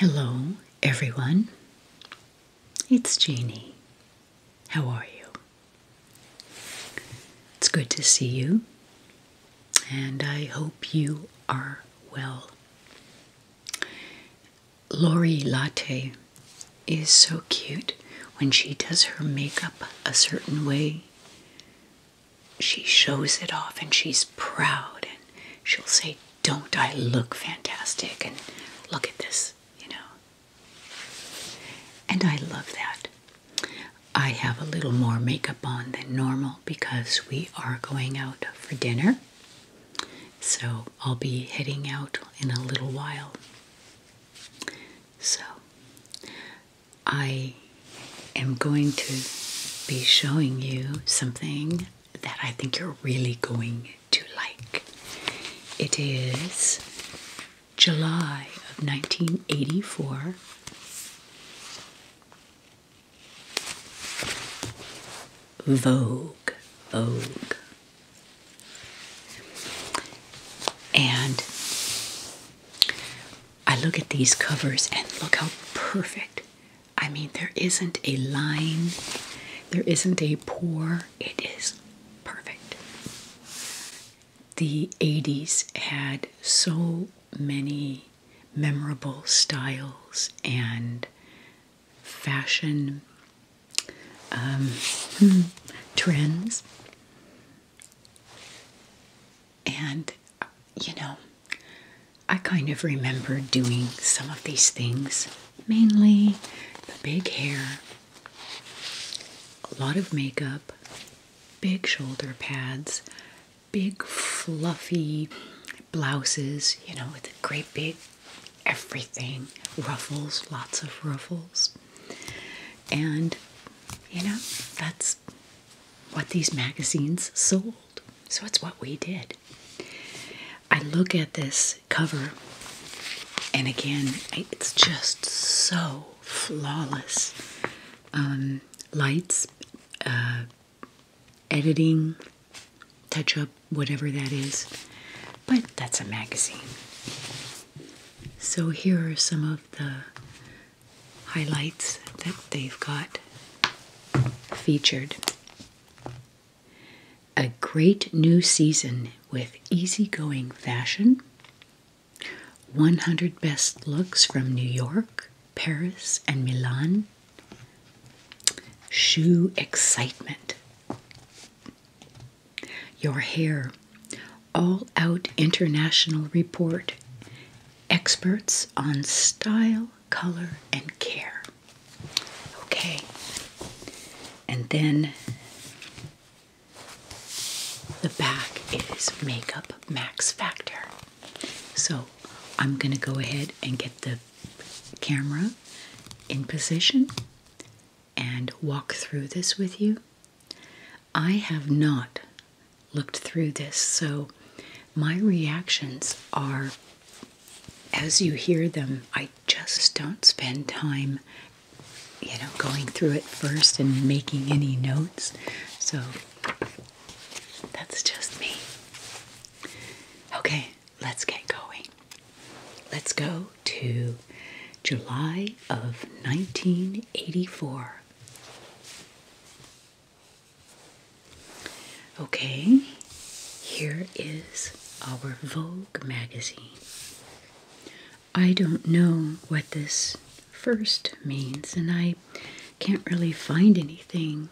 Hello, everyone. It's Jeannie. How are you? It's good to see you, and I hope you are well. Lori Latte is so cute when she does her makeup a certain way she shows it off and she's proud and she'll say, Don't I look fantastic? And look at this, you know. And I love that. I have a little more makeup on than normal because we are going out for dinner. So I'll be heading out in a little while. So I i am going to be showing you something that I think you're really going to like. It is July of 1984. Vogue, Vogue. And I look at these covers and look how perfect I mean, there isn't a line, there isn't a pour, it is perfect. The 80s had so many memorable styles and fashion um, hmm, trends. And you know, I kind of remember doing some of these things, mainly the big hair, a lot of makeup, big shoulder pads, big fluffy blouses, you know, with great big everything, ruffles, lots of ruffles. And you know, that's what these magazines sold. So it's what we did. I look at this cover, and again, it's just so flawless. Um, lights, uh, editing, touch up, whatever that is. But that's a magazine. So here are some of the highlights that they've got featured. A great new season with easygoing fashion, 100 best looks from New York, Paris, and Milan, shoe excitement. Your hair, all out international report, experts on style color, and care. Okay, and then the back is Makeup Max Factor. So I'm going to go ahead and get the camera in position and walk through this with you. I have not looked through this. So my reactions are, as you hear them, I just don't spend time, you know, going through it first and making any notes. So that's just me. Okay, let's get going. Let's go to July of 1984. Okay, here is our Vogue magazine. I don't know what this first means, and I can't really find anything,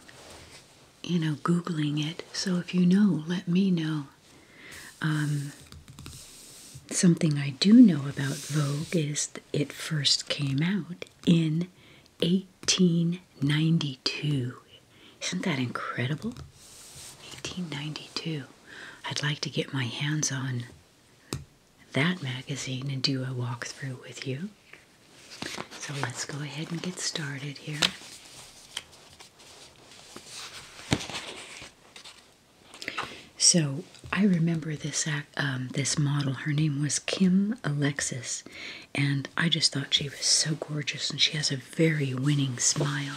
you know, Googling it. So if you know, let me know. Um, something I do know about Vogue is it first came out in 18 1892. Isn't that incredible? 1892. I'd like to get my hands on that magazine and do a walkthrough with you. So let's go ahead and get started here. So I remember this um, this model. Her name was Kim Alexis, and I just thought she was so gorgeous, and she has a very winning smile.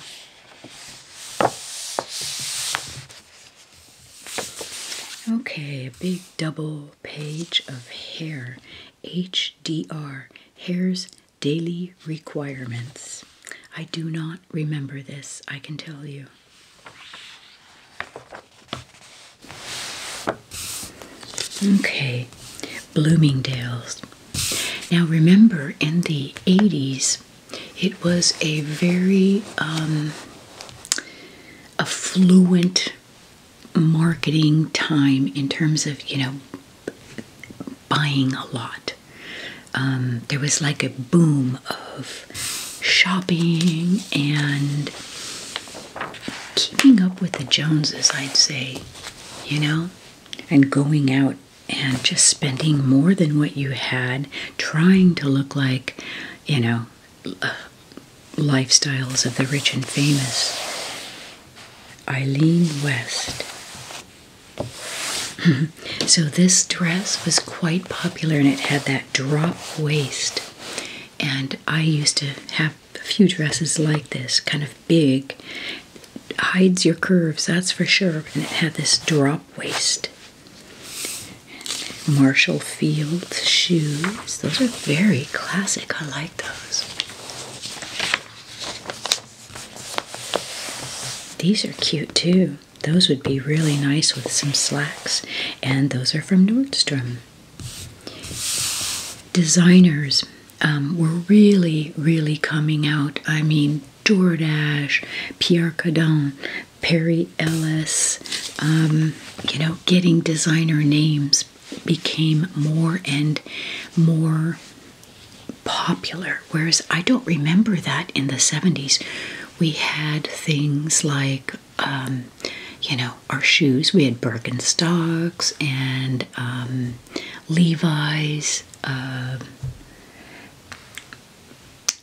Okay, a big double page of hair HDR Hair's Daily Requirements. I do not remember this, I can tell you. Okay, Bloomingdale's. Now remember, in the 80s, it was a very um, affluent marketing time in terms of, you know, buying a lot. Um, there was like a boom of shopping and keeping up with the Joneses, I'd say, you know, and going out and just spending more than what you had, trying to look like, you know, uh, lifestyles of the rich and famous. Eileen West. so, this dress was quite popular and it had that drop waist. And I used to have a few dresses like this, kind of big. hides your curves, that's for sure. And it had this drop waist. Marshall Field shoes. Those are very classic. I like those. These are cute too. Those would be really nice with some slacks. And those are from Nordstrom designers um, were really, really coming out. I mean, DoorDash, Pierre Cardin, Perry Ellis, um, you know, getting designer names became more and more popular. Whereas I don't remember that in the 70s. We had things like, um, you know, our shoes, we had Birkenstocks and um, Levi's, um,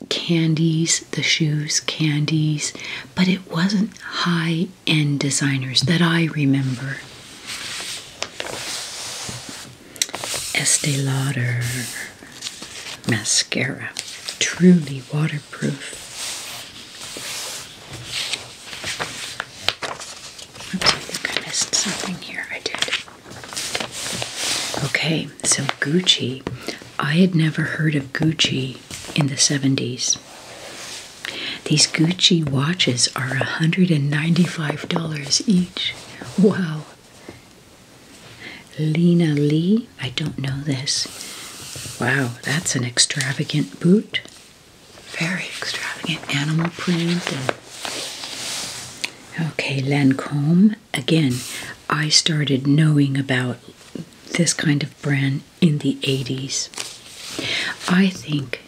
candies, the shoes, candies, but it wasn't high end designers that I remember. Estee Lauder mascara, truly waterproof. I think I missed something here. I did. Okay, so Gucci. I had never heard of Gucci in the 70s. These Gucci watches are $195 each. Wow. Lena Lee, I don't know this. Wow, that's an extravagant boot. Very extravagant animal print. And okay, Lancome. Again, I started knowing about this kind of brand in the 80s. I think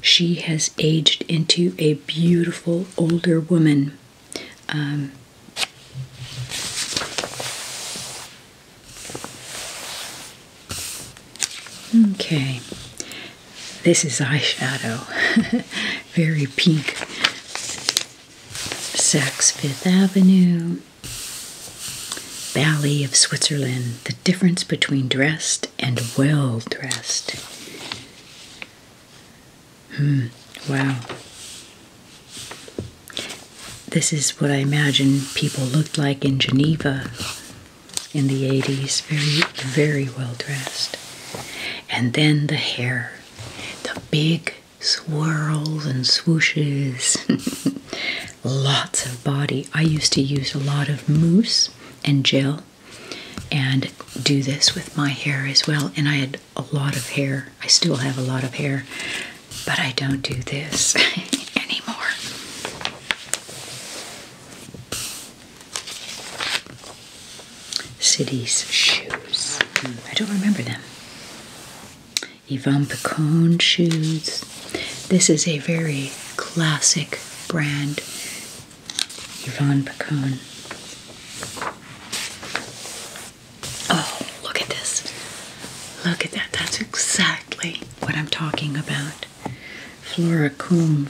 she has aged into a beautiful older woman. Um, Okay, this is eyeshadow. Very pink. Saks Fifth Avenue, Valley of Switzerland. The difference between dressed and well dressed. Hmm, wow. This is what I imagine people looked like in Geneva in the 80s, very, very well dressed. And then the hair, the big swirls and swooshes, lots of body. I used to use a lot of mousse and gel and do this with my hair as well. And I had a lot of hair. I still have a lot of hair, but I don't do this anymore. City's shoes. I don't remember them. Yvonne Picon shoes. This is a very classic brand. Yvonne Picon. Oh, look at this. Look at that. That's exactly what I'm talking about. Flora Coombe.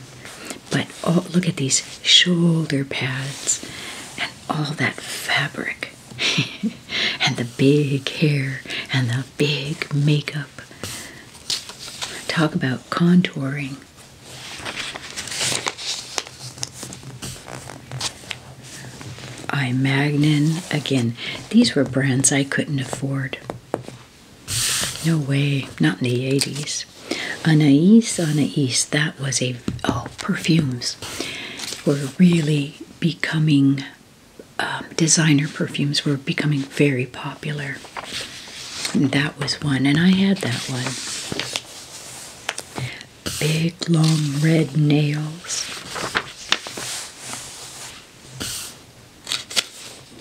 But oh, look at these shoulder pads and all that fabric and the big hair and the big makeup. Talk about contouring. I Magnin again. These were brands I couldn't afford. No way, not in the 80s. Anais, Anais, that was a, oh, perfumes were really becoming, um, designer perfumes were becoming very popular. that was one, and I had that one. Big, long, red nails.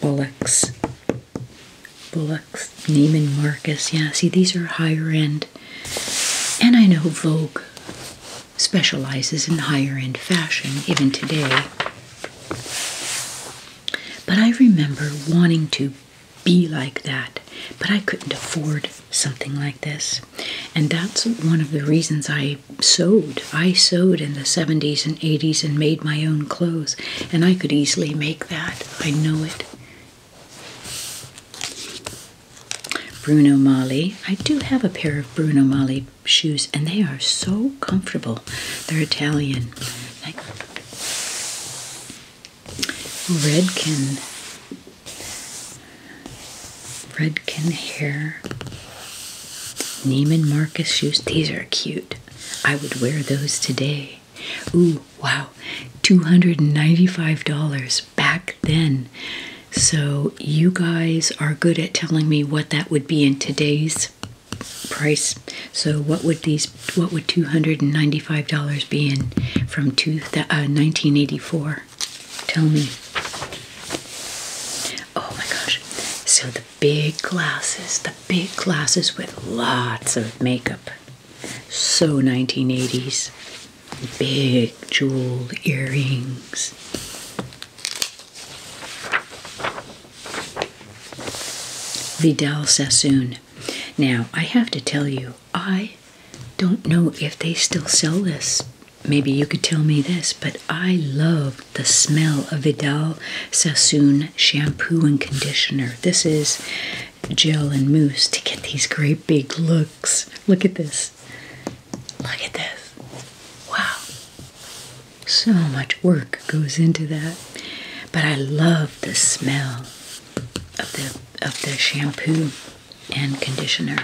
Bullocks. Bullocks. Neiman Marcus. Yeah, see, these are higher end. And I know Vogue specializes in higher end fashion even today. But I remember wanting to be like that, but I couldn't afford something like this. And that's one of the reasons I sewed. I sewed in the 70s and 80s and made my own clothes. And I could easily make that. I know it. Bruno Mali. I do have a pair of Bruno Mali shoes, and they are so comfortable. They're Italian. Like Redken. Redken hair. Neiman Marcus shoes. These are cute. I would wear those today. Ooh, wow, $295 back then. So you guys are good at telling me what that would be in today's price. So what would these what would $295 be in from two, 1984? Uh, Tell me. Oh my gosh. So big glasses, the big glasses with lots of makeup. So 1980s. Big jeweled earrings. Vidal Sassoon. Now, I have to tell you, I don't know if they still sell this. Maybe you could tell me this, but I love the smell of Vidal Sassoon shampoo and conditioner. This is gel and mousse to get these great big looks. Look at this. Look at this. Wow. So much work goes into that. But I love the smell of the of the shampoo and conditioner.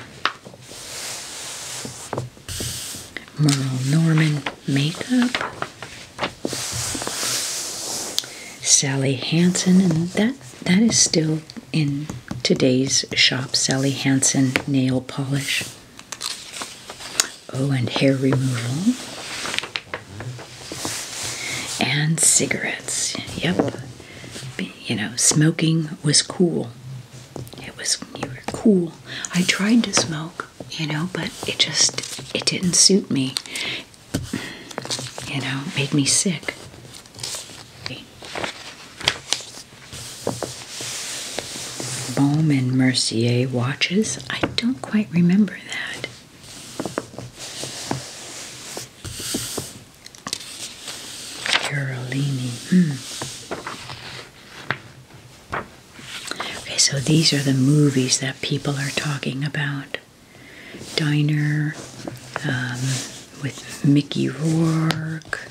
Merle Norman makeup. Sally Hansen, and that that is still in today's shop. Sally Hansen nail polish. Oh, and hair removal. And cigarettes. Yep. You know, smoking was cool. It was, you were cool. I tried to smoke you know, but it just it didn't suit me. You know, made me sick. and Mercier watches. I don't quite remember that. Carolini. Hmm. Okay, so these are the movies that people are talking about. Diner um, with Mickey Rourke,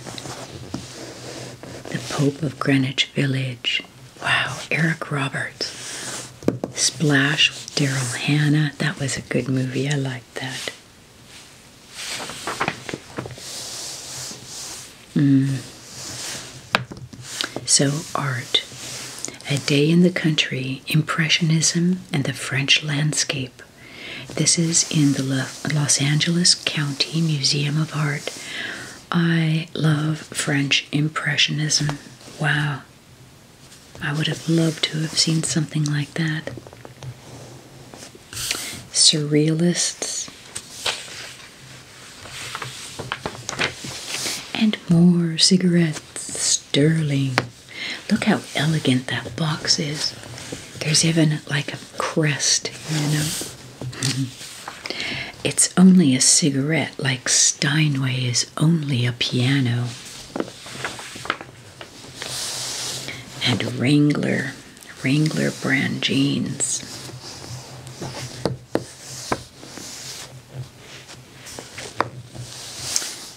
The Pope of Greenwich Village. Wow, Eric Roberts. Splash with Daryl Hannah. That was a good movie. I liked that. Mm. So, art. A Day in the Country Impressionism and the French Landscape. This is in the Los Angeles County Museum of Art. I love French Impressionism. Wow. I would have loved to have seen something like that. Surrealists. And more cigarettes, sterling. Look how elegant that box is. There's even like a crest, you know. It's only a cigarette, like Steinway is only a piano. And Wrangler, Wrangler brand jeans.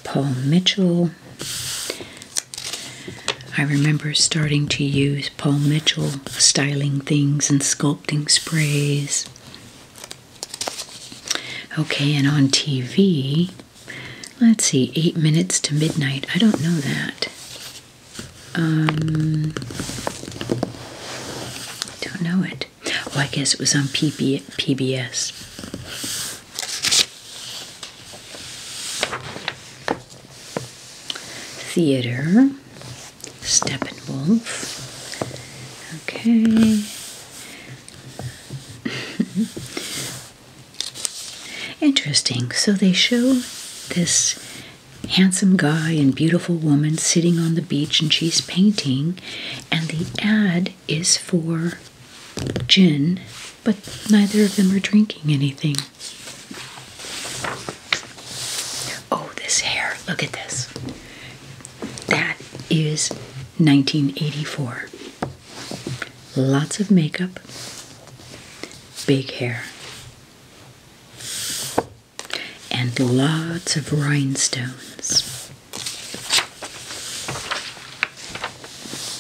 Paul Mitchell. I remember starting to use Paul Mitchell styling things and sculpting sprays. Okay, and on TV, let's see, eight minutes to midnight. I don't know that. Um, don't know it. Oh, I guess it was on PB PBS. Theater, Steppenwolf. Okay. Interesting. So they show this handsome guy and beautiful woman sitting on the beach, and she's painting and the ad is for gin, but neither of them are drinking anything. Oh, this hair, look at this. That is 1984. Lots of makeup, big hair and lots of rhinestones.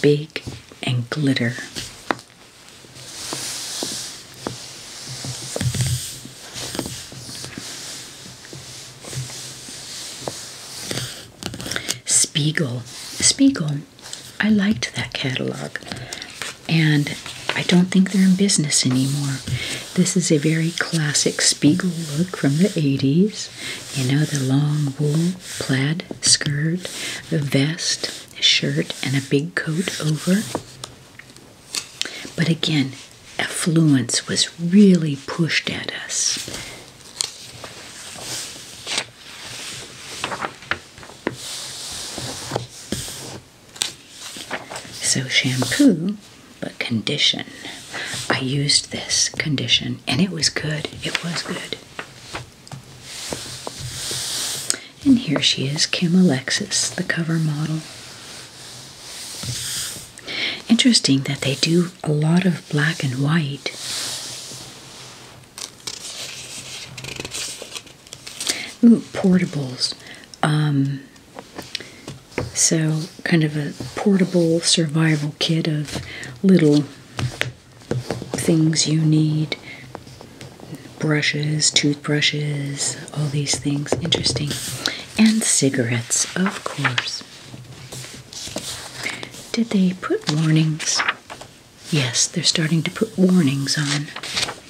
Big and glitter. Spiegel. Spiegel. I liked that catalog. And I don't think they're in business anymore. This is a very classic Spiegel look from the 80s. You know, the long wool plaid skirt, the vest, the shirt, and a big coat over. But again, affluence was really pushed at us. So, shampoo but condition. I used this condition and it was good. It was good. And here she is, Kim Alexis, the cover model. Interesting that they do a lot of black and white. Ooh, portables. Um, so, kind of a portable survival kit of little things you need brushes, toothbrushes, all these things. Interesting. And cigarettes, of course. Did they put warnings? Yes, they're starting to put warnings on,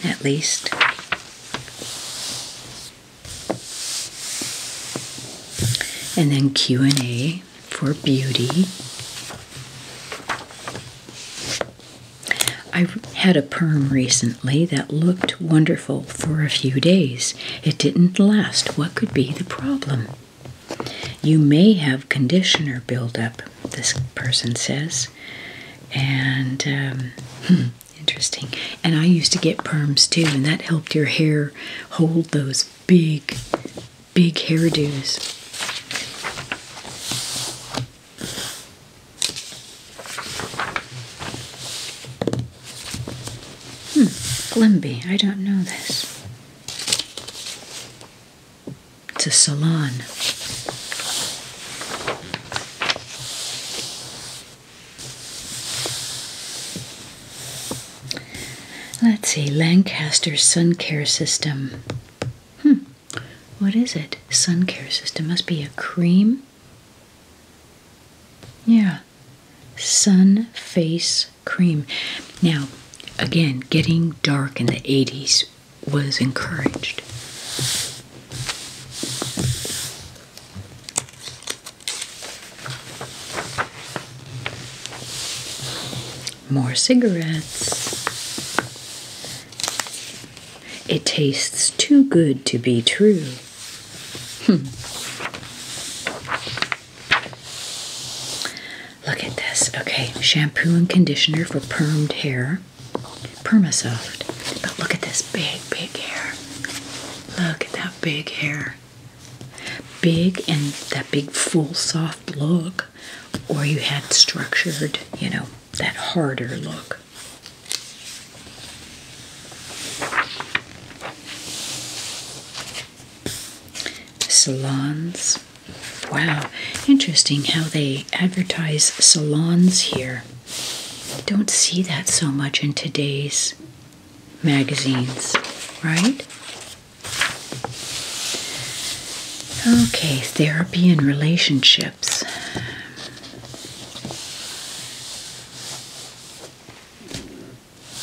at least and then q&a for beauty i had a perm recently that looked wonderful for a few days it didn't last what could be the problem you may have conditioner buildup this person says and um, hmm. Interesting. And I used to get perms too, and that helped your hair hold those big, big hairdos. Hmm, Glimby. I don't know this. To salon. Let's see, Lancaster Sun Care System. Hmm, what is it? Sun Care System must be a cream. Yeah, Sun Face Cream. Now, again, getting dark in the 80s was encouraged. More cigarettes. It tastes too good to be true. Hmm. Look at this. Okay, shampoo and conditioner for permed hair. Permasoft. But look at this big, big hair. Look at that big hair. Big and that big, full, soft look, or you had structured, you know, that harder look. Salons. Wow, interesting how they advertise salons here. Don't see that so much in today's magazines, right? Okay, therapy and relationships.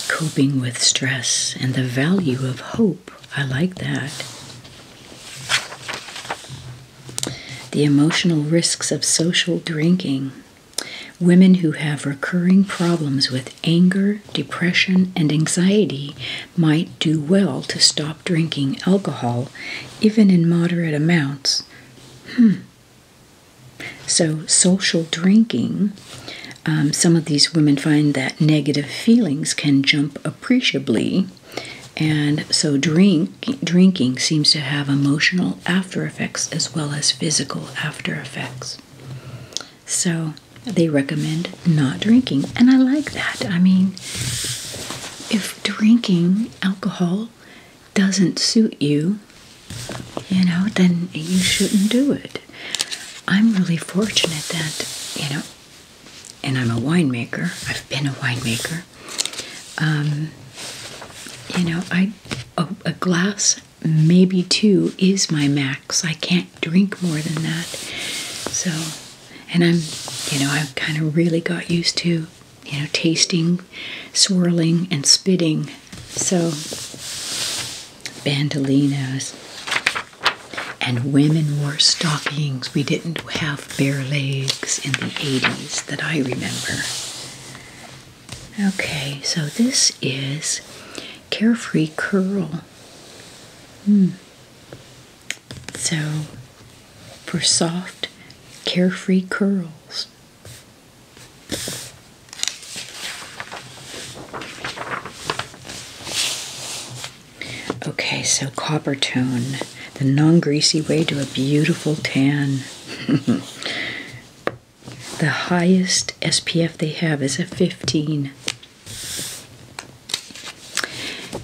Coping with stress and the value of hope. I like that. The emotional risks of social drinking. Women who have recurring problems with anger, depression, and anxiety might do well to stop drinking alcohol, even in moderate amounts. Hmm. So, social drinking, um, some of these women find that negative feelings can jump appreciably. And so, drink, drinking seems to have emotional emotional after effects as well as physical after effects. So they recommend not drinking, and I like that. I mean, if drinking alcohol doesn't suit you, you know, then you shouldn't do it. I'm really fortunate that, you know, and I'm a winemaker, I've been a winemaker. Um, you know, I a glass maybe two is my max. I can't drink more than that. So, and I'm, you know, I've kind of really got used to, you know, tasting, swirling, and spitting. So, bandolinos. And women wore stockings. We didn't have bare legs in the 80s that I remember. Okay, so this is Carefree Curl. Mm. So, for soft, carefree curls. Okay, so copper tone, the non greasy way to a beautiful tan. The highest SPF they have is a 15.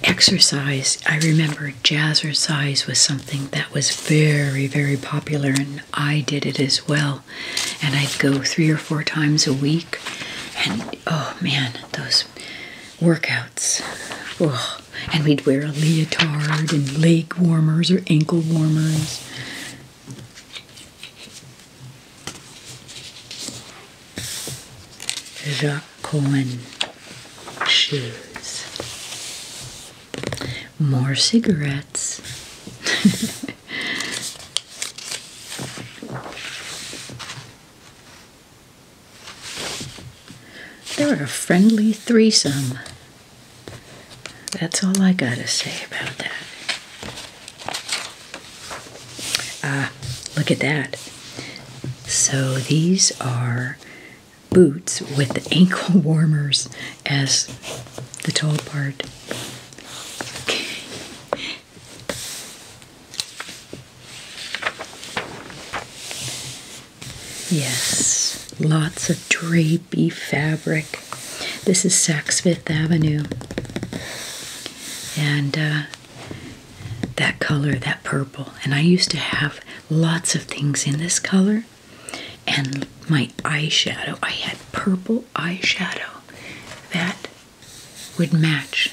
Exercise. I remember jazzercise was something that was very, very popular, and I did it as well. And I'd go three or four times a week, and oh man, those workouts. Oh, and we'd wear a leotard and leg warmers or ankle warmers. Jacques Cohen shoes. More cigarettes. They're a friendly threesome. That's all I gotta say about that. Ah, look at that. So these are boots with ankle warmers as the toe part. Yes, lots of trees. Beef fabric. This is Saks Fifth Avenue. And uh, that color, that purple. And I used to have lots of things in this color. And my eyeshadow, I had purple eyeshadow that would match.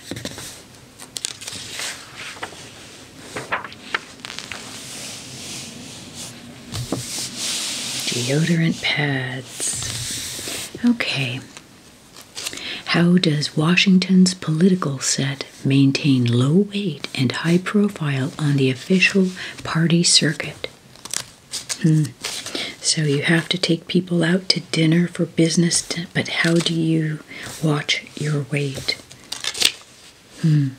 Deodorant pads. Okay. How does Washington's political set maintain low weight and high profile on the official party circuit? Hmm. So you have to take people out to dinner for business, but how do you watch your weight? Hmm.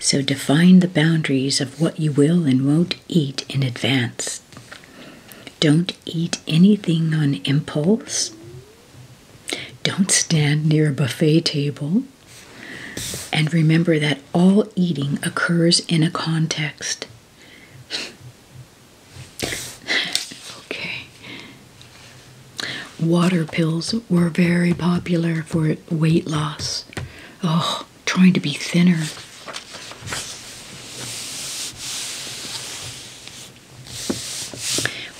So define the boundaries of what you will and won't eat in advance. Don't eat anything on impulse. Don't stand near a buffet table. And remember that all eating occurs in a context. okay. Water pills were very popular for weight loss. Oh, trying to be thinner.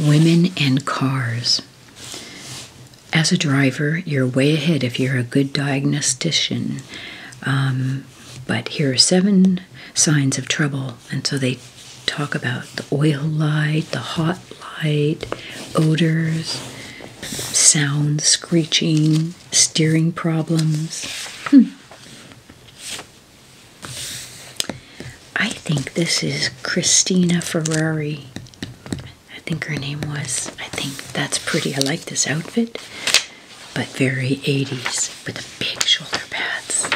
Women and cars. As a driver, you're way ahead if you're a good diagnostician. Um, but here are seven signs of trouble. And so they talk about the oil light, the hot light, odors, sound, screeching, steering problems. Hmm. I think this is Christina Ferrari. I think her name was. I think that's pretty. I like this outfit, but very 80s with the big shoulder pads.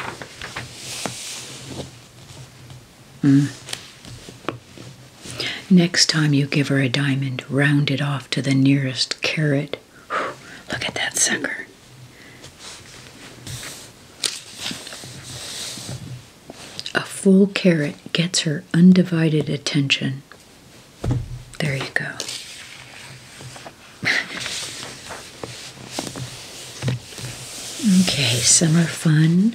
Hmm. Next time you give her a diamond, round it off to the nearest carat. look at that sucker. A full carat gets her undivided attention. There you go. okay, summer fun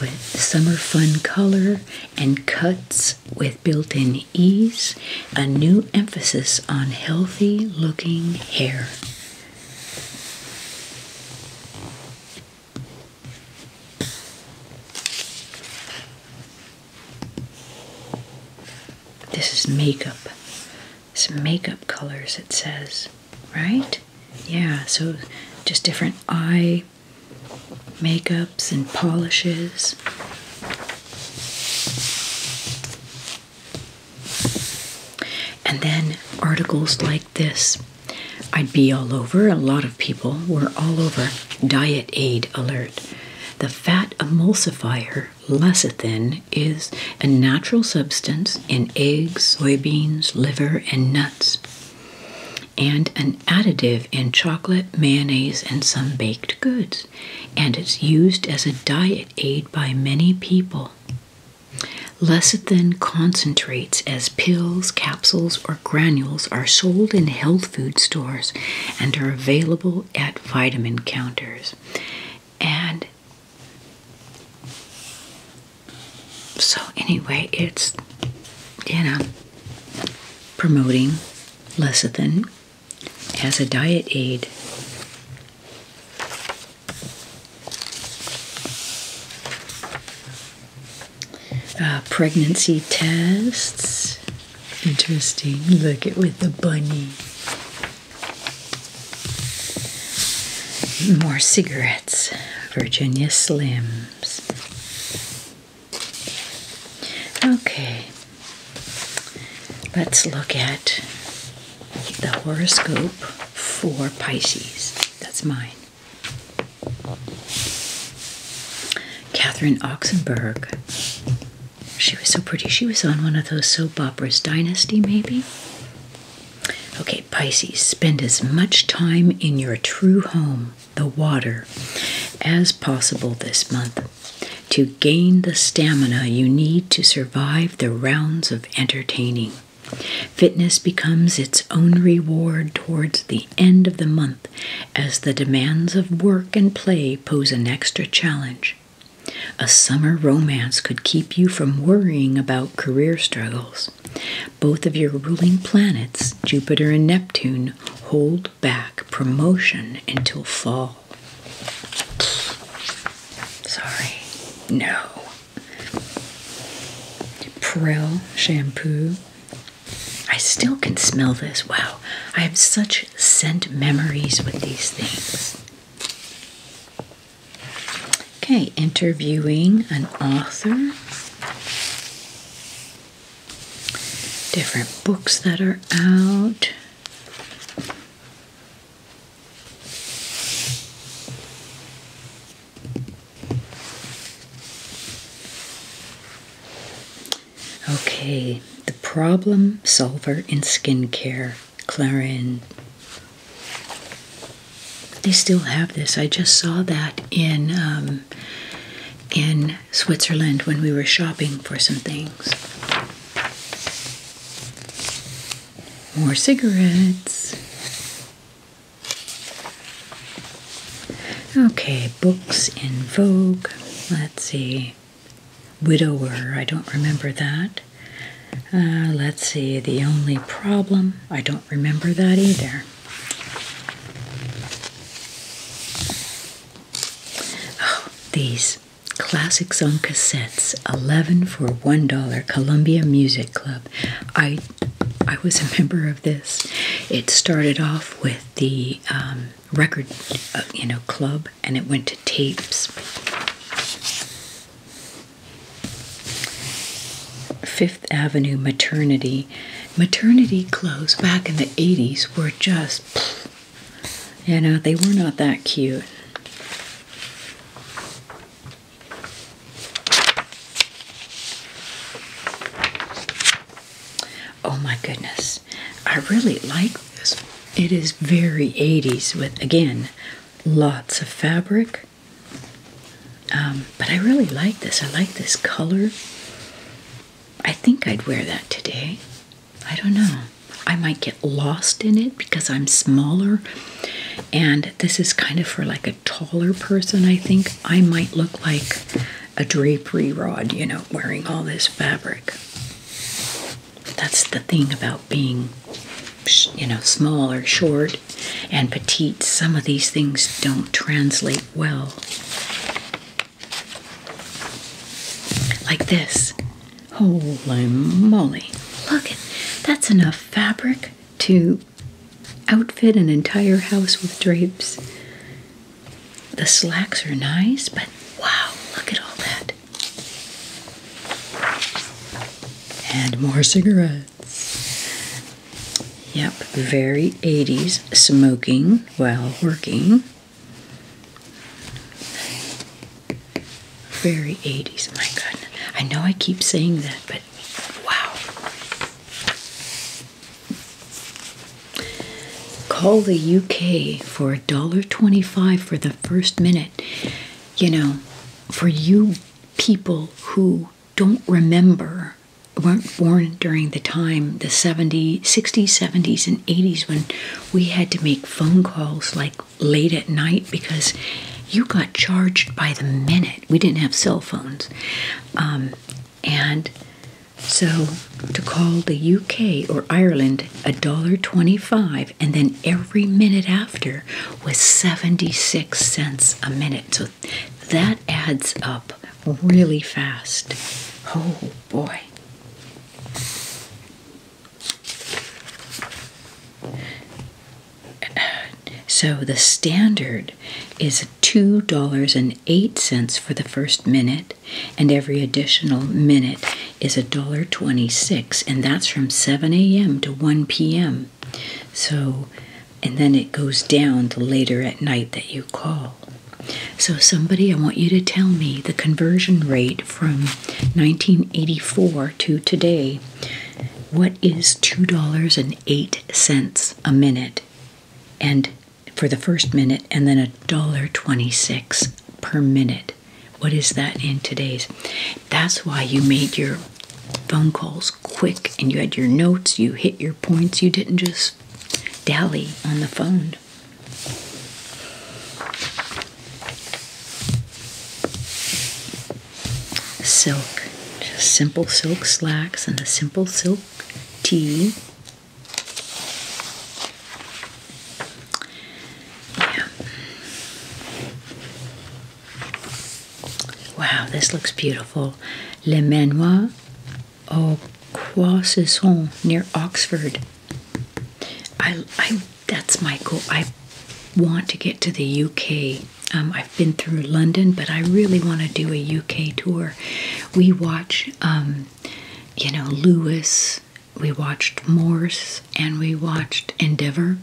with summer fun color and cuts with built in ease, a new emphasis on healthy looking hair. This is makeup. It's makeup colors, it says, right? Yeah, so just different eye makeups and polishes. And then articles like this. I'd be all over, a lot of people were all over. Diet Aid Alert. The fat emulsifier lecithin is a natural substance in eggs, soybeans, liver, and nuts and an additive in chocolate, mayonnaise, and some baked goods, and it's used as a diet aid by many people. Lecithin concentrates as pills, capsules, or granules are sold in health food stores and are available at vitamin counters. And so, anyway, it's, you know, promoting lecithin as a diet aid. Uh, pregnancy tests. Interesting. Look at with the bunny. More cigarettes. Virginia Slims. Okay, let's look at the horoscope for Pisces. That's mine. Catherine Oxenberg. She was so pretty. She was on one of those soap operas, Dynasty, maybe? Okay, Pisces, spend as much time in your true home the water as possible this month to gain the stamina you need to survive the rounds of entertaining. Fitness becomes its own reward towards the end of the month as the demands of work and play pose an extra challenge. A summer romance could keep you from worrying about career struggles, both of your ruling planets, Jupiter and Neptune, hold back promotion until fall. Sorry, no. Prill shampoo. I still can smell this. Wow, I have such scent memories with these things. Okay, interviewing an author different books that are out. Okay, The Problem Solver in Skincare, Clarin. They still have this. I just saw that in um, in Switzerland when we were shopping for some things. More cigarettes. Okay, books in vogue. Let's see. Widower, I don't remember that. Uh, let's see, The Only Problem, I don't remember that either. Oh, these classics on cassettes, 11 for $1, Columbia Music Club. I I was a member of this. It started off with the um, record, uh, you know, club, and it went to tapes. Fifth Avenue Maternity maternity clothes back in the 80s were just, you know, they were not that cute. Oh my goodness. I really like this. It is very 80s with, again, lots of fabric. Um, but I really like this. I like this color. I think I'd wear that today. I don't know. I might get lost in it because I'm smaller and this is kind of for like a taller person, I think. I might look like a drapery rod, you know, wearing all this fabric. That's the thing about being, you know, small or short and petite. Some of these things don't translate well. Like this. Holy moly. Look, it. that's enough fabric to outfit an entire house with drapes. The slacks are nice, but wow, look at all that. And more cigarettes. Yep, very 80s smoking while working. Very 80s, my goodness. I know I keep saying that, but wow. Call the UK for $1.25 for the first minute. You know, for you people who don't remember weren't born during the time the 70s 60s 70s and 80s when we had to make phone calls like late at night because you got charged by the minute we didn't have cell phones um, and so to call the uk or ireland a dollar 25 and then every minute after was 76 cents a minute so that adds up really fast. Oh boy. So the standard is $2.08 for the first minute, and every additional minute is $1.26, and that's from 7 a.m. to 1 p.m. So, and then it goes down the later at night that you call. So, somebody, I want you to tell me the conversion rate from 1984 to today. What is $2.08 a minute? And for the first minute, and then $1.26 per minute. What is that in today's? That's why you made your phone calls quick and you had your notes, you hit your points, you didn't just Dally on the phone. Silk, just simple silk slacks and a simple silk tee. Yeah. Wow, this looks beautiful. Le Manoir Oh, home near Oxford. I, I, that's my goal. I want to get to the UK. Um, I've been through London, but I really want to do a UK tour. We watch, um, you know, Lewis, we watched Morse, and we watched Endeavour,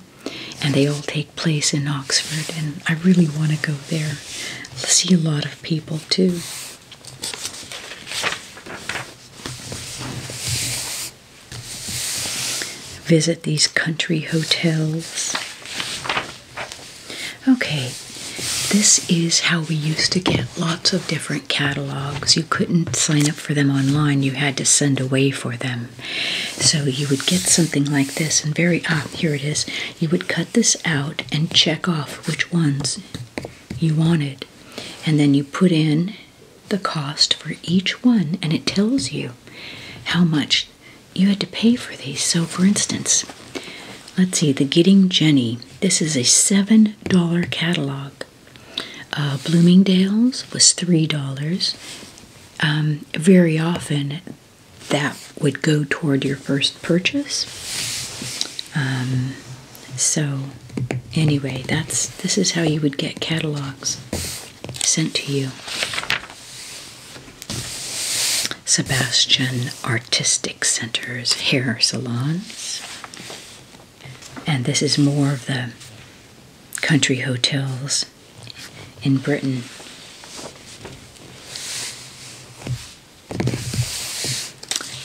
and they all take place in Oxford, and I really want to go there. See a lot of people too. Visit these country hotels. Okay, this is how we used to get lots of different catalogs. You couldn't sign up for them online, you had to send away for them. So you would get something like this, and very, ah, here it is. You would cut this out and check off which ones you wanted. And then you put in the cost for each one, and it tells you how much you had to pay for these. So, for instance, let's see the Getting Jenny. This is a $7 catalog. Uh, Bloomingdale's was $3. Um, very often that would go toward your first purchase. Um, so, anyway, that's this is how you would get catalogs sent to you. Sebastian Artistic Centers hair salons. And this is more of the country hotels in Britain.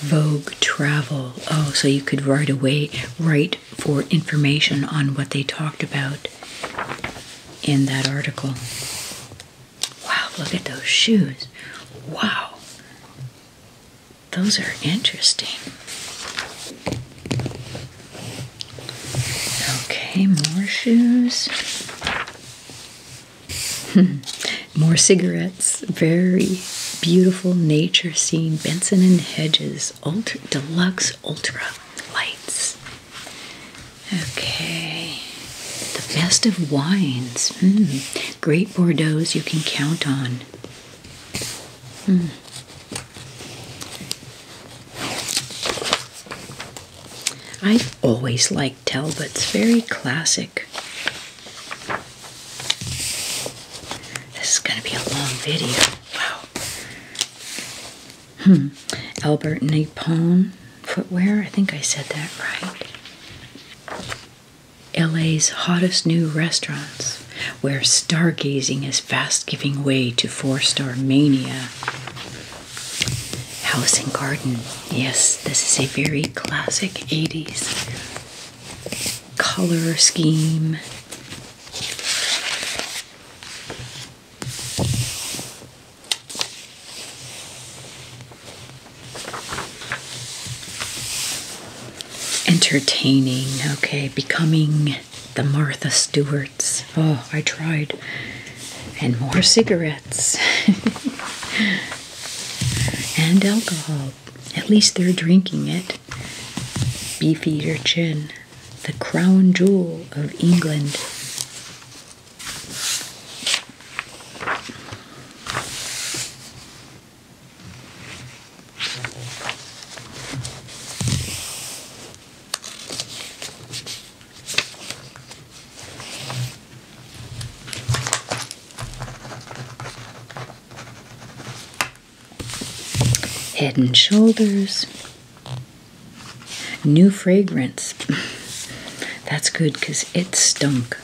Vogue travel. Oh, so you could right away write for information on what they talked about in that article. Wow, look at those shoes. Wow. Those are interesting. Okay, more shoes. More cigarettes. Very beautiful nature scene. Benson and Hedges. Ultra Deluxe Ultra Lights. Okay. The best of wines. Hmm. Great Bordeaux's you can count on. Hmm. i always like. Tell, but it's very classic. This is going to be a long video. Wow. Hmm. Albert Napalm footwear. I think I said that right. LA's hottest new restaurants, where stargazing is fast giving way to four star mania. House and Garden Yes, this is a very classic 80s color scheme. Entertaining, okay, becoming the Martha Stewarts. Oh, I tried. And more cigarettes and alcohol. At least they're drinking it. Beefeater chin. the crown jewel of England. Head and shoulders. New fragrance. That's good because it stunk.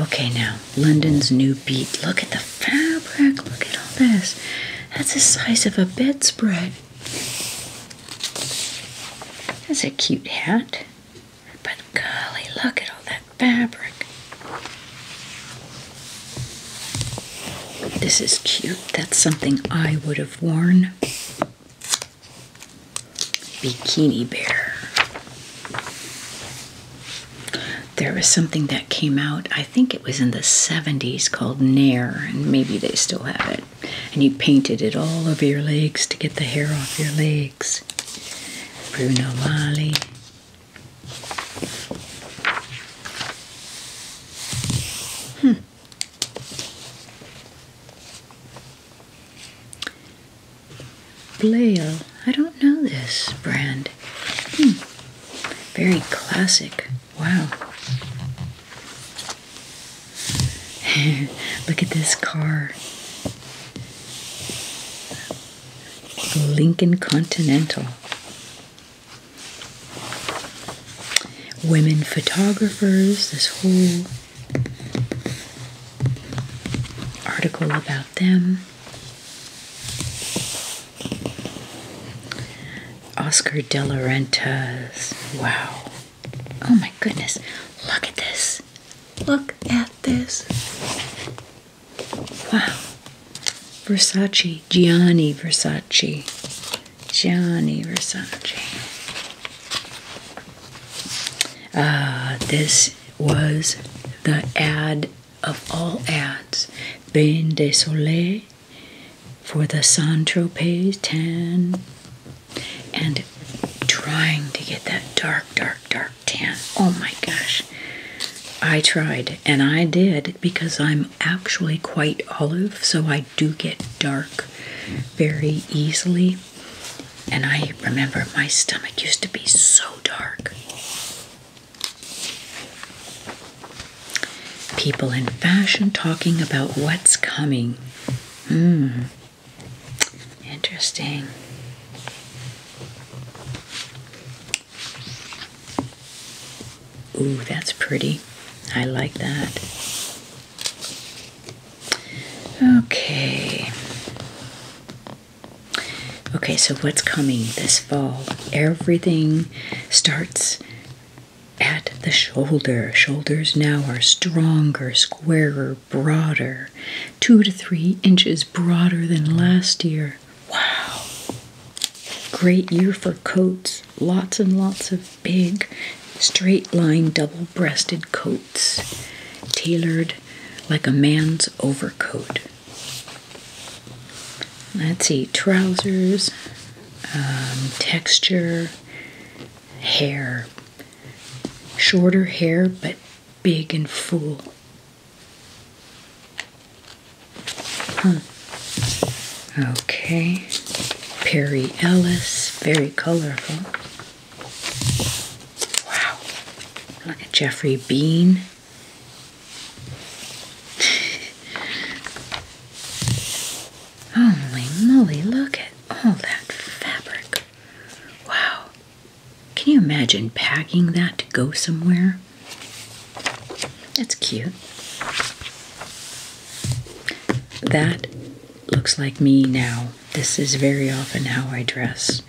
Okay, now, London's new beat. Look at the fabric. Look at all this. That's the size of a bedspread. That's a cute hat. But golly, look at all that fabric. This is cute. That's something I would have worn. Bikini Bear. There was something that came out, I think it was in the 70s, called Nair, and maybe they still have it. And you painted it all over your legs to get the hair off your legs. Bruno Mali. Hmm. Blail. I don't know this brand. Hmm. Very classic. Wow. Look at this car. Lincoln Continental. Women photographers, this whole article about them. Oscar de la Renta's. Wow. Oh my goodness. Look at this. Look at this. Wow. Versace, Gianni Versace, Gianni Versace. Ah, this was the ad of all ads. Bain de Soleil for the Saint Tropez tan. And trying to get that dark, dark, dark 10. Oh my gosh. I tried and I did because I'm actually quite olive, so I do get dark very easily. And I remember my stomach used to be so dark. People in fashion talking about what's coming. Mm. Interesting. Ooh, that's pretty. I like that. Okay. Okay, so what's coming this fall? Everything starts at the shoulder. Shoulders now are stronger, squarer, broader, two to three inches broader than last year. Wow! Great year for coats. Lots and lots of big, straight line, double breasted coats, tailored like a man's overcoat. Let's see, trousers, um, texture, hair. Shorter hair, but big and full. Huh. Hmm. Okay. Perry Ellis. Very colorful. Wow. Look at Jeffrey Bean. Holy moly, look at all that fabric. Wow. Can you imagine packing that to go somewhere? That's cute. That looks like me now. This is very often how I dress.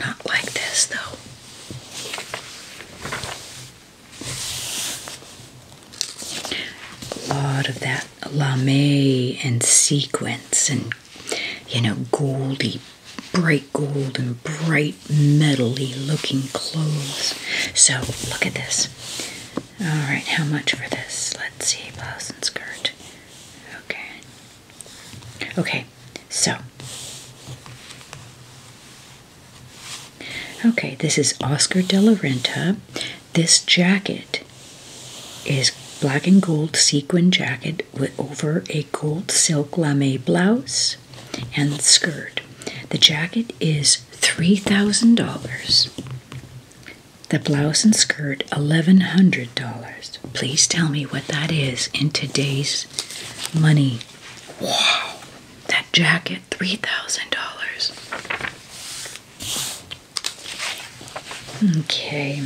not like this though. A lot of that lame and sequence and you know, goldy, bright gold and bright metally looking clothes. So look at this. All right, how much for this? Let's see, blouse and skirt. Okay. Okay, so. Okay, this is Oscar de la Renta. This jacket is black and gold sequin jacket with over a gold silk lame blouse and skirt. The jacket is $3,000. The blouse and skirt $1,100. Please tell me what that is in today's money. Wow, that jacket $3,000. Okay.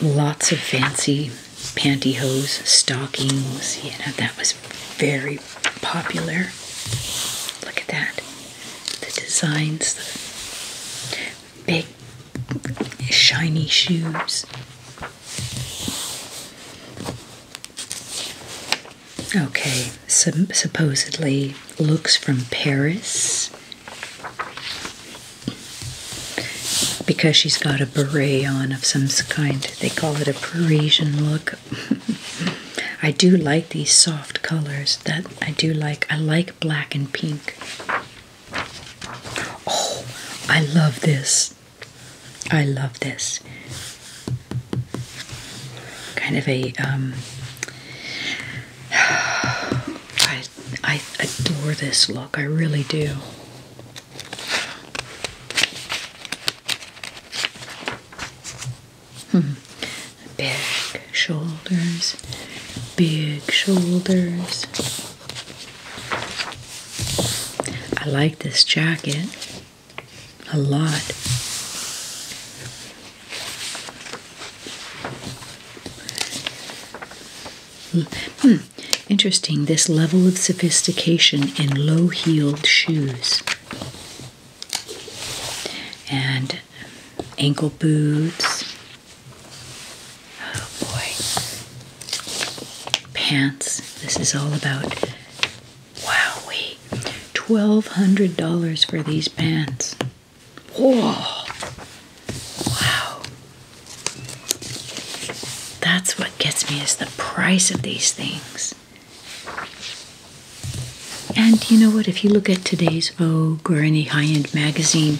Lots of fancy pantyhose, stockings. You that was very popular. Look at that. The designs, the big, shiny shoes. Okay, supposedly looks from Paris because she's got a beret on of some kind. They call it a Parisian look. I do like these soft colors that I do like. I like black and pink. Oh, I love this. I love this. Kind of a um, I I adore this look. I really do. Hmm. Big shoulders, big shoulders. I like this jacket a lot. Hmm. Interesting, this level of sophistication in low heeled shoes and ankle boots. Oh boy. Pants. This is all about. Wow, $1,200 for these pants. Whoa. Wow. That's what gets me is the price of these things. And you know what? If you look at today's Vogue or any high end magazine,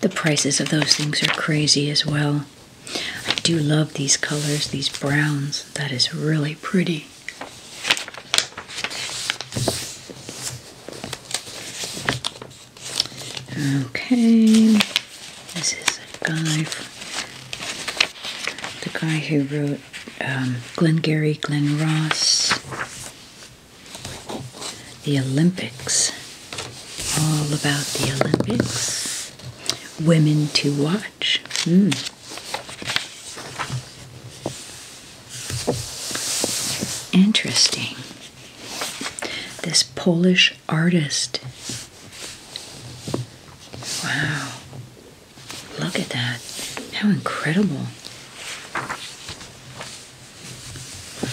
the prices of those things are crazy as well. I do love these colors, these browns. That is really pretty. Okay, this is a guy, the guy who wrote um, Glengarry Glen Ross, the Olympics, all about the Olympics, women to watch. Mm. Interesting. This Polish artist. Wow. Look at that. How incredible.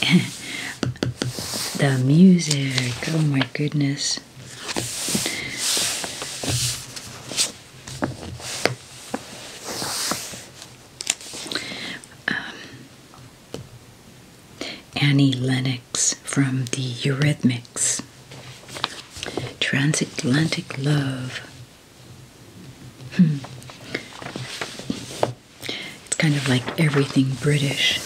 the music. Oh my goodness. Um, Annie Lennox from the Eurythmics, Transatlantic Love. Hmm. It's kind of like everything British.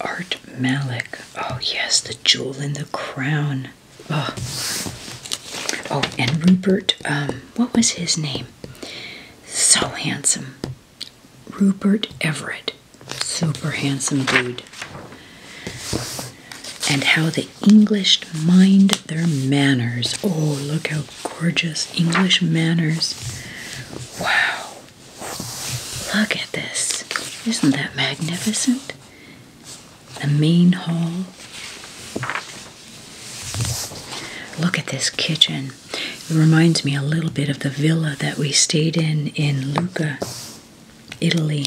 Art Malik. Oh, yes, The Jewel in the Crown. Oh, oh and Rupert, um, what was his name? So handsome. Rupert Everett. Super handsome dude. And how the English mind their manners. Oh, look how gorgeous English manners. Wow. Look at this. Isn't that magnificent? The main hall. Look at this kitchen. It reminds me a little bit of the villa that we stayed in in Lucca, Italy.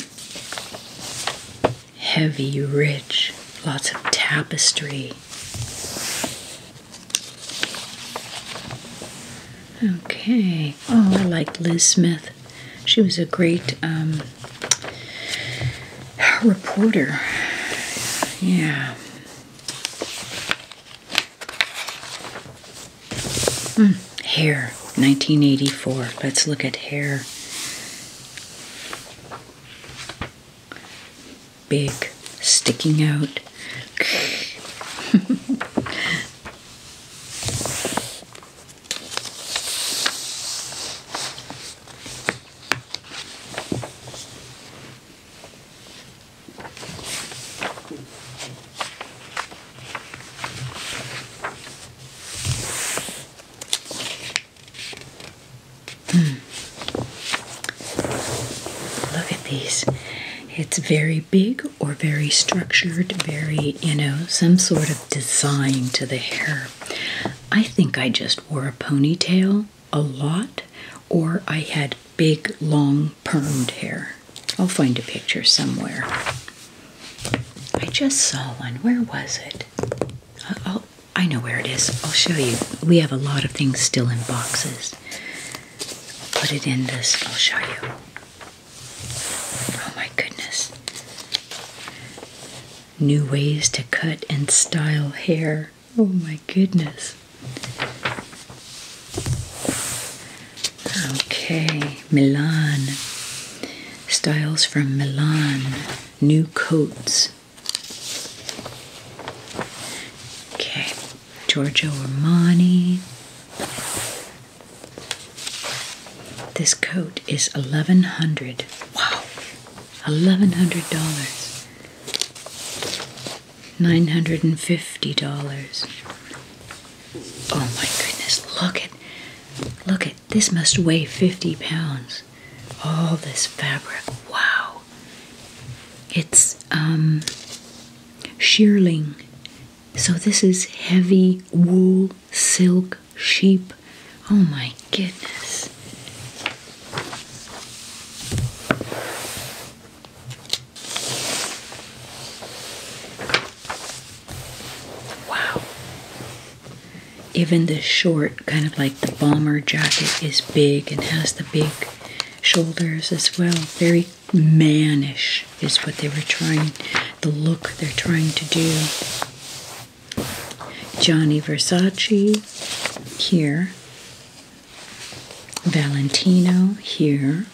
Heavy, rich, lots of tapestry. Okay. Oh, I liked Liz Smith. She was a great um, reporter. Yeah hair, 1984. Let's look at hair. Big, sticking out. Hmm. Look at these. It's very big or very structured, very, you know, some sort of design to the hair. I think I just wore a ponytail a lot, or I had big, long, permed hair. I'll find a picture somewhere. I just saw one. Where was it? i uh, oh, I know where it is. I'll show you. We have a lot of things still in boxes. put it in this. I'll show you. Oh my goodness. New ways to cut and style hair. Oh my goodness. Okay, Milan. Styles from Milan. New coats. Okay, Giorgio Armani. This coat is eleven hundred. Wow, eleven hundred dollars. Nine hundred and fifty dollars. Oh my goodness! Look at, look at this. Must weigh fifty pounds. All this fabric. Wow. It's um, shearling. So this is heavy wool, silk, sheep. Oh my goodness. Wow. Even the short, kind of like the bomber jacket, is big and has the big shoulders as well. Very mannish is what they were trying, the look they're trying to do. Johnny Versace here Valentino here.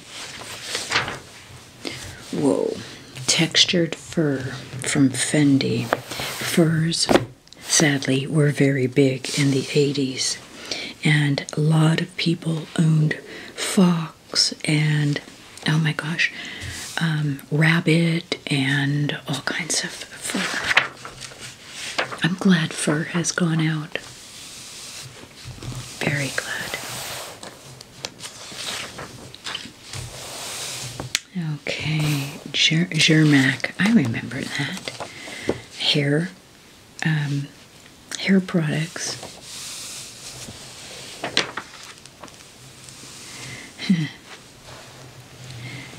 Whoa, textured fur from Fendi. Furs, sadly, were very big in the 80s, and a lot of people owned fox and oh my gosh, um, rabbit and all kinds of fur. I'm glad fur has gone out. Very glad. Okay, Jer I remember that. Hair, um, hair products.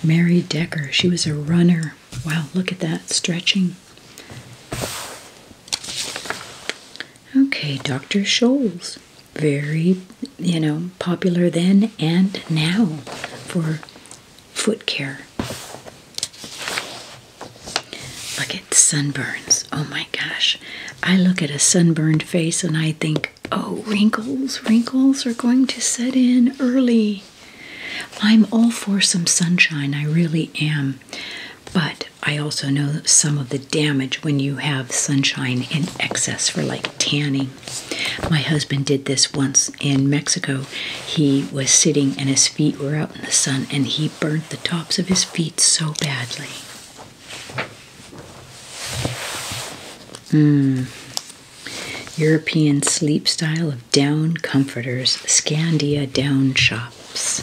Mary Decker. She was a runner. Wow, look at that stretching. Okay, Dr. Shoals, Very, you know, popular then and now for foot care. Look at sunburns. Oh my gosh. I look at a sunburned face and I think, oh, wrinkles, wrinkles are going to set in early. I'm all for some sunshine, I really am. But I also know some of the damage when you have sunshine in excess for like tanning. My husband did this once in Mexico. He was sitting and his feet were out in the sun and he burnt the tops of his feet so badly. Mm. European sleep style of down comforters, Scandia down shops.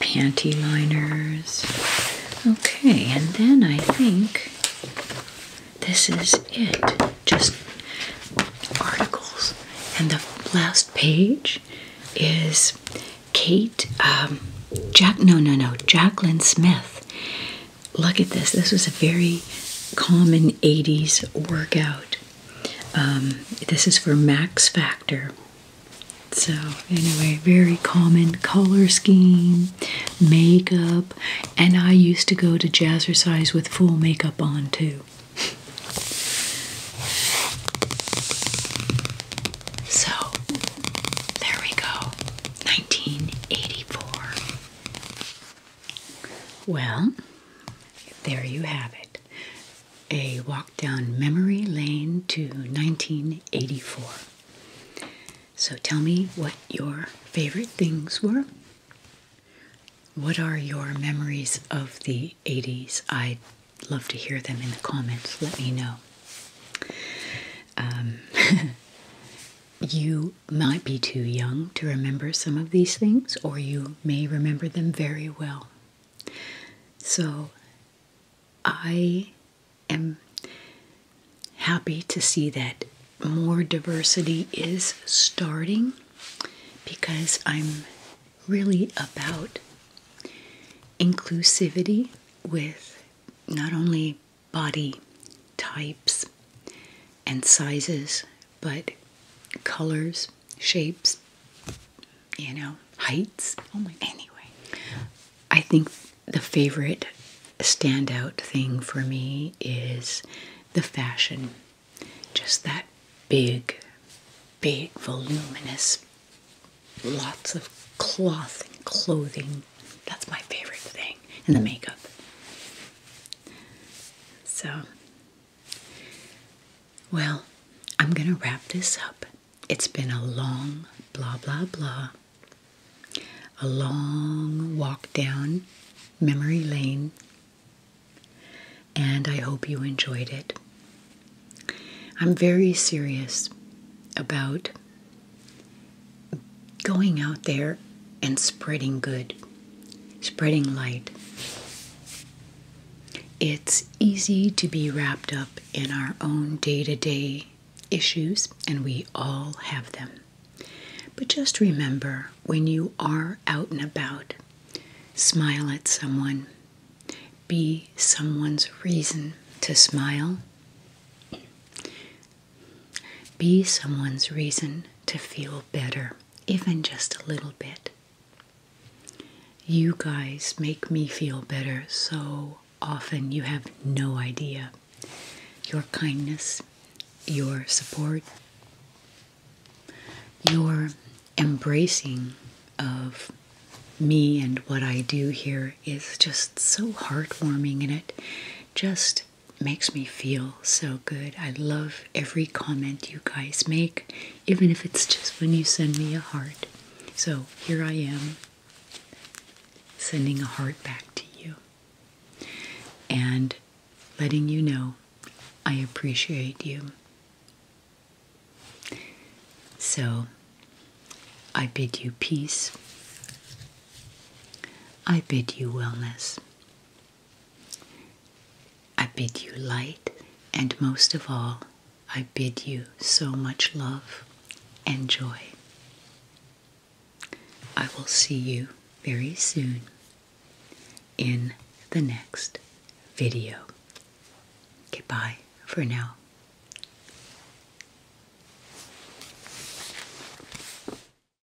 Panty liners. Okay, and then I think this is it. Just articles. And the last page is Kate, um, Jack, no, no, no, Jacqueline Smith look at this. This was a very common 80s workout. Um, this is for Max Factor. So, anyway, very common color scheme, makeup, and I used to go to jazzercise with full makeup on too. So, there we go. 1984. Well, there you have it. A walk down memory lane to 1984. So tell me what your favorite things were. What are your memories of the 80s? I'd love to hear them in the comments. Let me know. Um, you might be too young to remember some of these things, or you may remember them very well. So I am happy to see that more diversity is starting because I'm really about inclusivity with not only body types and sizes, but colors, shapes, you know, heights. Oh my, anyway. I think the favorite standout thing for me is the fashion. Just that big, big, voluminous, lots of cloth and clothing. That's my favorite thing. And the mm. makeup. So, well, I'm going to wrap this up. It's been a long blah, blah, blah, a long walk down memory lane, and I hope you enjoyed it. I'm very serious about going out there and spreading good, spreading light. It's easy to be wrapped up in our own day to day issues, and we all have them. But just remember when you are out and about, smile at someone, be someone's reason to smile. Be someone's reason to feel better, even just a little bit. You guys make me feel better so often, you have no idea. Your kindness, your support, your embracing of me and what I do here is just so heartwarming, In it just makes me feel so good. I love every comment you guys make, even if it's just when you send me a heart. So here I am sending a heart back to you and letting you know I appreciate you. So I bid you peace. I bid you wellness. I bid you light, and most of all, I bid you so much love and joy. I will see you very soon in the next video. Goodbye for now.